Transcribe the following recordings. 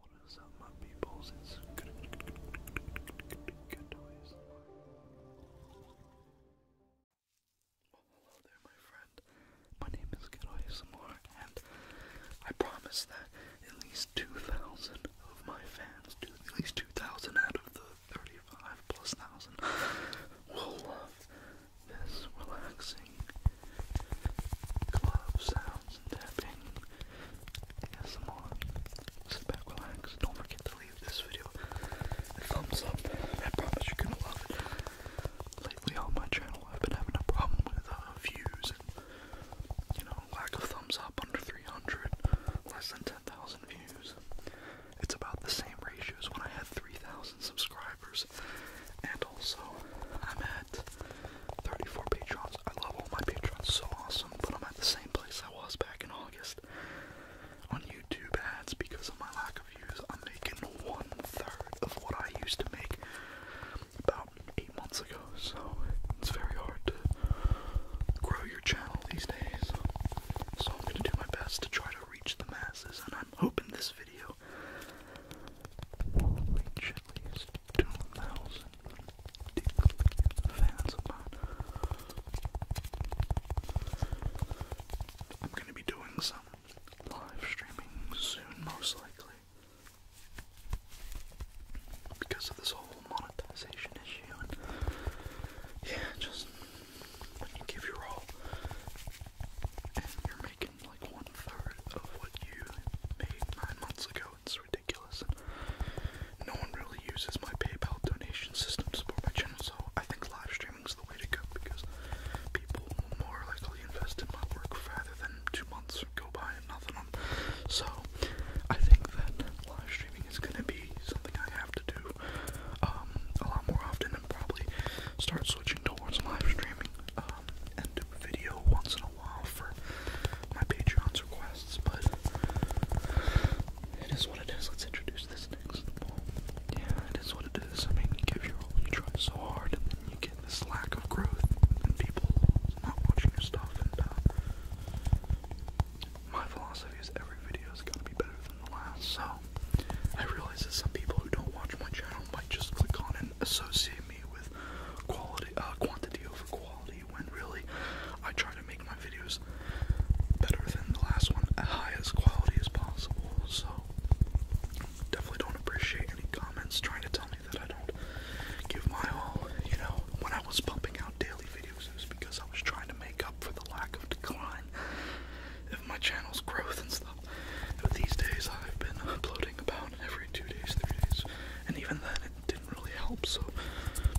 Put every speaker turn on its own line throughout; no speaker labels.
What is up, my people? It's good, good, good, good, hello there, my friend. My name is Good and I promise that at least 2,000 of my fans, at least 2,000 out of the 35 plus thousand, will love this relaxing amazing sounds and tapping ASMR. Sit back, relax. Don't forget to leave this video a thumbs up. I promise you're gonna love it. Lately on my channel, I've been having a problem with uh, views and, you know, lack of thumbs up under 300, less than 10,000 views. It's about the same ratio as when I had 3,000 subscribers and also I'm at 34 patrons. I love all my patrons, so awesome, but I'm at the same place I was back in August on YouTube ads because of my lack of views. I'm making one third of what I used to make about eight months ago, so it's very hard to grow your channel these days. So I'm gonna do my best to try to reach the masses, and I'm hoping this video I'm gonna be doing some live streaming soon, most likely. Because of this whole monetization issue, yeah, just when you give your all and you're making like one third of what you made nine months ago. It's ridiculous. No one really uses my PayPal donation system to support my channel, so I think live streaming is the way to go because people will more likely invest in my work rather than two months go by and nothing. So I think that live streaming is going to be something I have to do um, a lot more often and probably start switching towards live streaming um, and do a video once in a while for my Patreon's requests, but it is what it is. Let's introduce this next poem. Yeah, it is what it is. I mean, you give your all, you try so hard, and you get this lack of growth, and people not watching your stuff, and uh, my philosophy is every video is going to be better than the last, so I realize that some people who don't watch my channel might just click on and associate me with quality, uh, quantity over quality, when really I try to make my videos better than the last one, as high as quality as possible. So definitely don't appreciate any comments trying to tell me that I don't give my all. You know, when I was pumping out daily videos, it was because I was trying to make up for the lack of decline of my channel's growth and stuff. But these days I've been uploading about every two days, three days, and even then it didn't really help. So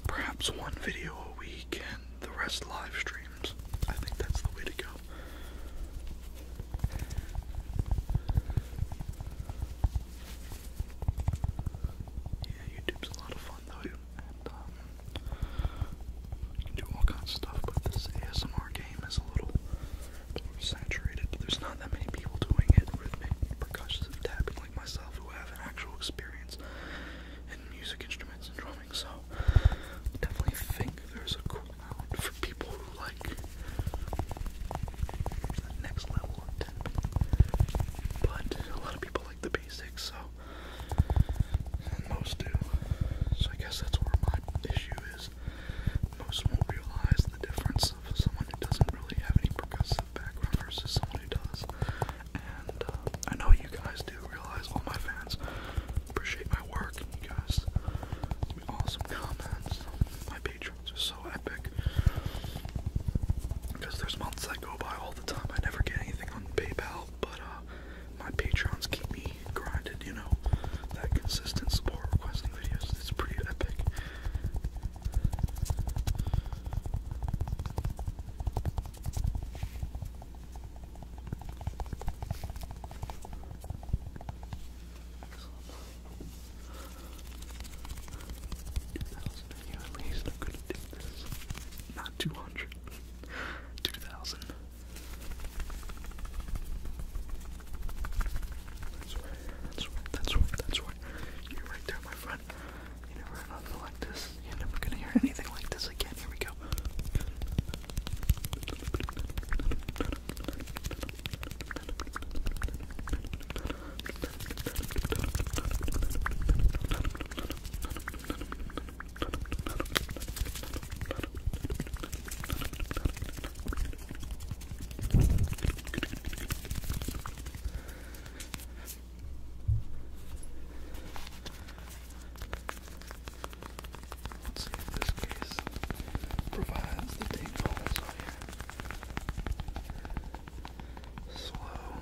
perhaps one video a week and the rest live streams. I think that's the way to go. Yeah, YouTube's a lot of fun though, um, do all kinds of stuff, but this ASMR game is a little saturated. There's not that many people doing it rhythmic percussion tapping like myself who have actual experience in music instruments and drumming, so definitely think there's a cool out for people who like the next level of tapping. But a lot of people like the basics, so most do. So I guess that's where my issue is. Most won't realize the difference of someone who doesn't really have any percussive background versus someone who does. And uh, I know you guys do realize, all my fans appreciate my work, you guys awesome comments. My patrons are so epic. Because there's months that go by all the time. I never get anything on PayPal, but uh, my patrons keep me grounded. you know, that consistent support requesting videos. That's pretty epic. Thousand of you at least gonna do this. Not two hundred. 2000. That's right, that's right, that's right, that's right. You're right there, my friend. You never heard nothing like this. You're never gonna hear anything like this again. Here we go. Let's see if this case provides the tingles on here. Slow.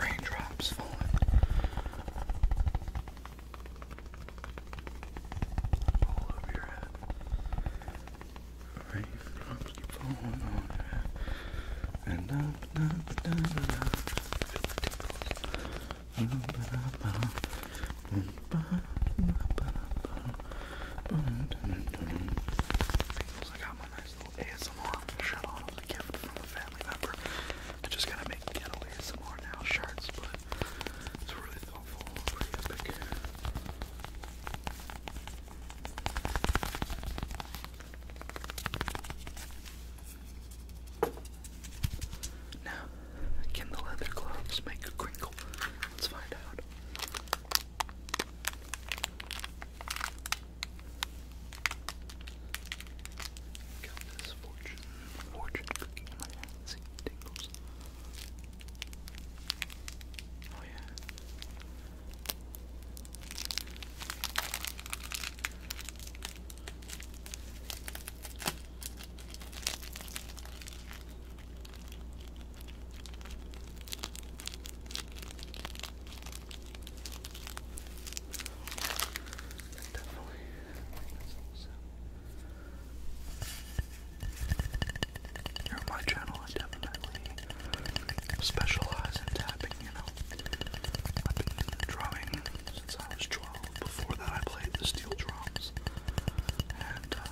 Raindrops falling. All over your head. Raindrops keep falling on your head. And up, up, up, up, up. Feel the tingles. Up, up, up. Feels like I got my nice little ASMR shirt on. from a family member. I just gotta make ghetto ASMR now shirts, but it's really thoughtful, pretty epic. Now, can the leather gloves make a crinkle? Let's find out. Got this fortune, fortune cookie in Let's see, it Oh yeah. Definitely. That's awesome. Here my channel, definitely specialize in tapping, you know. I've been drumming since I was before that, I played the steel drums. And, uh,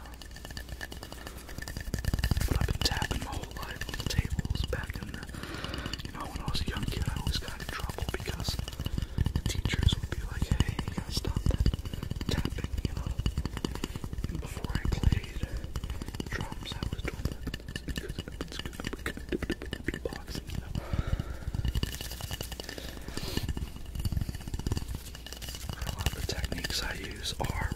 but I've been tapping my whole life on the tables. Back in the, you know, when I was a young kid, I always got in trouble because the teachers would be like, hey, you gotta stop that tapping, you know. before I played drums, I was doing that. because good, it's good, boxing, a lot of the techniques I use are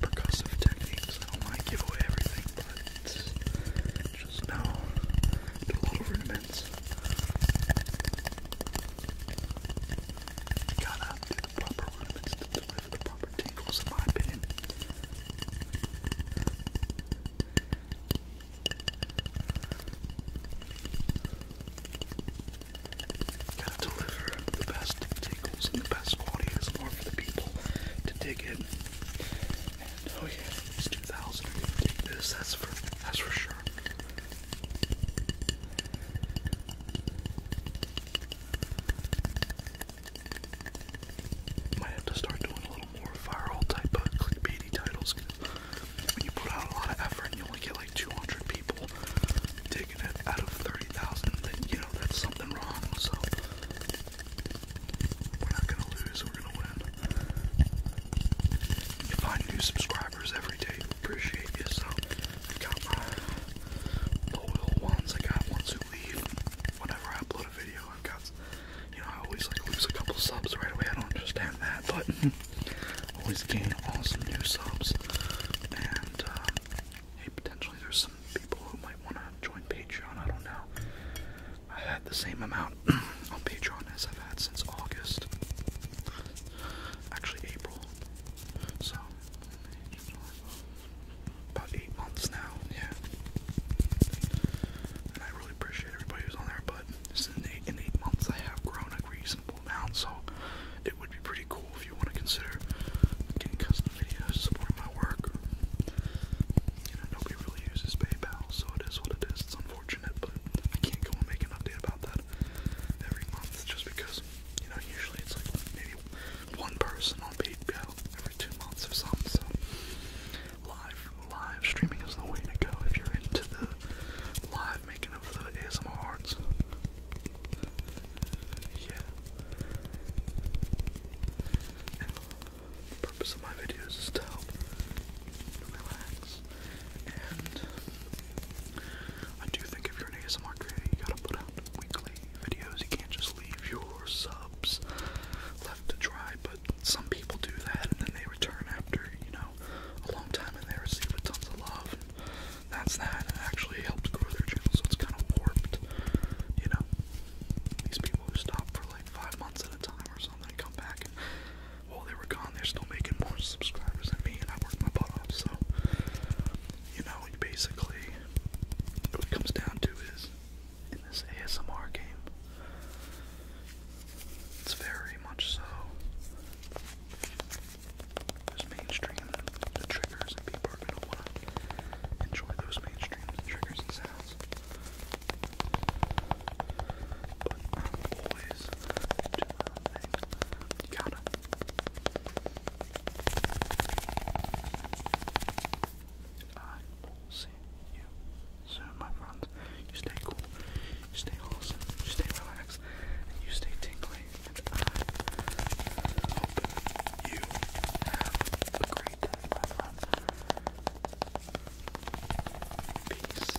percussive techniques. I don't want to give away everything, but just know do a rudiments. You got do the proper rudiments deliver the proper tingles, in my opinion to deliver the best tickles and the best quality is more for the people to dig in. oh yeah, it's 2000. this. That's for that's for sure. Might have to start doing a little more viral type clickbaity titles when you put out a lot of effort and you only get like 200 people taking it out of 30,000, you know that's something wrong. So we're not gonna lose, we're gonna win. You find new subscribers every day. Appreciate you. So I got my loyal ones. I got ones who leave whenever I upload a video. I've got you know, I always like lose a couple subs right away. I don't understand that, but always gain awesome new subs. And uh, hey, potentially there's some people who might want to join Patreon. I don't know. I had the same amount on Patreon as I've had since August. Actually, April. So, about eight months now, yeah. And I really appreciate everybody who's on there, but in eight, in eight months I have grown a reasonable amount, so it would be pretty cool if you want to consider getting custom videos supporting my work. You know, nobody really uses PayPal, so it is what it is. It's unfortunate, but I can't go and make an update about that every month just because, you know, usually it's like maybe one person on PayPal every two months or something, live live streaming is the way to go if you're into the live making of the ASMR Yeah. the purpose of my videos is to relax. And I do think if you're an ASMR creator, you gotta put out weekly videos. You can't just leave your subs left to dry, but but some people do that and then they return after, you know, a long time and they receive a tons of love. And that's that. It actually helps grow their channel, so it's kind of warped, you know. These people who stop for like five months at a time or something and come back and while they were gone, they're still making more subscribers than me, and I worked my butt off. So, you know, basically, what it comes down to is in this ASMR game. It's very much so there's mainstream triggers and people wanna enjoy those mainstream triggers and sounds. But always gotta see my friends. You stay cool, you stay wholesome, you stay relaxed, and you stay tingly. And I hope you have a great day, Peace.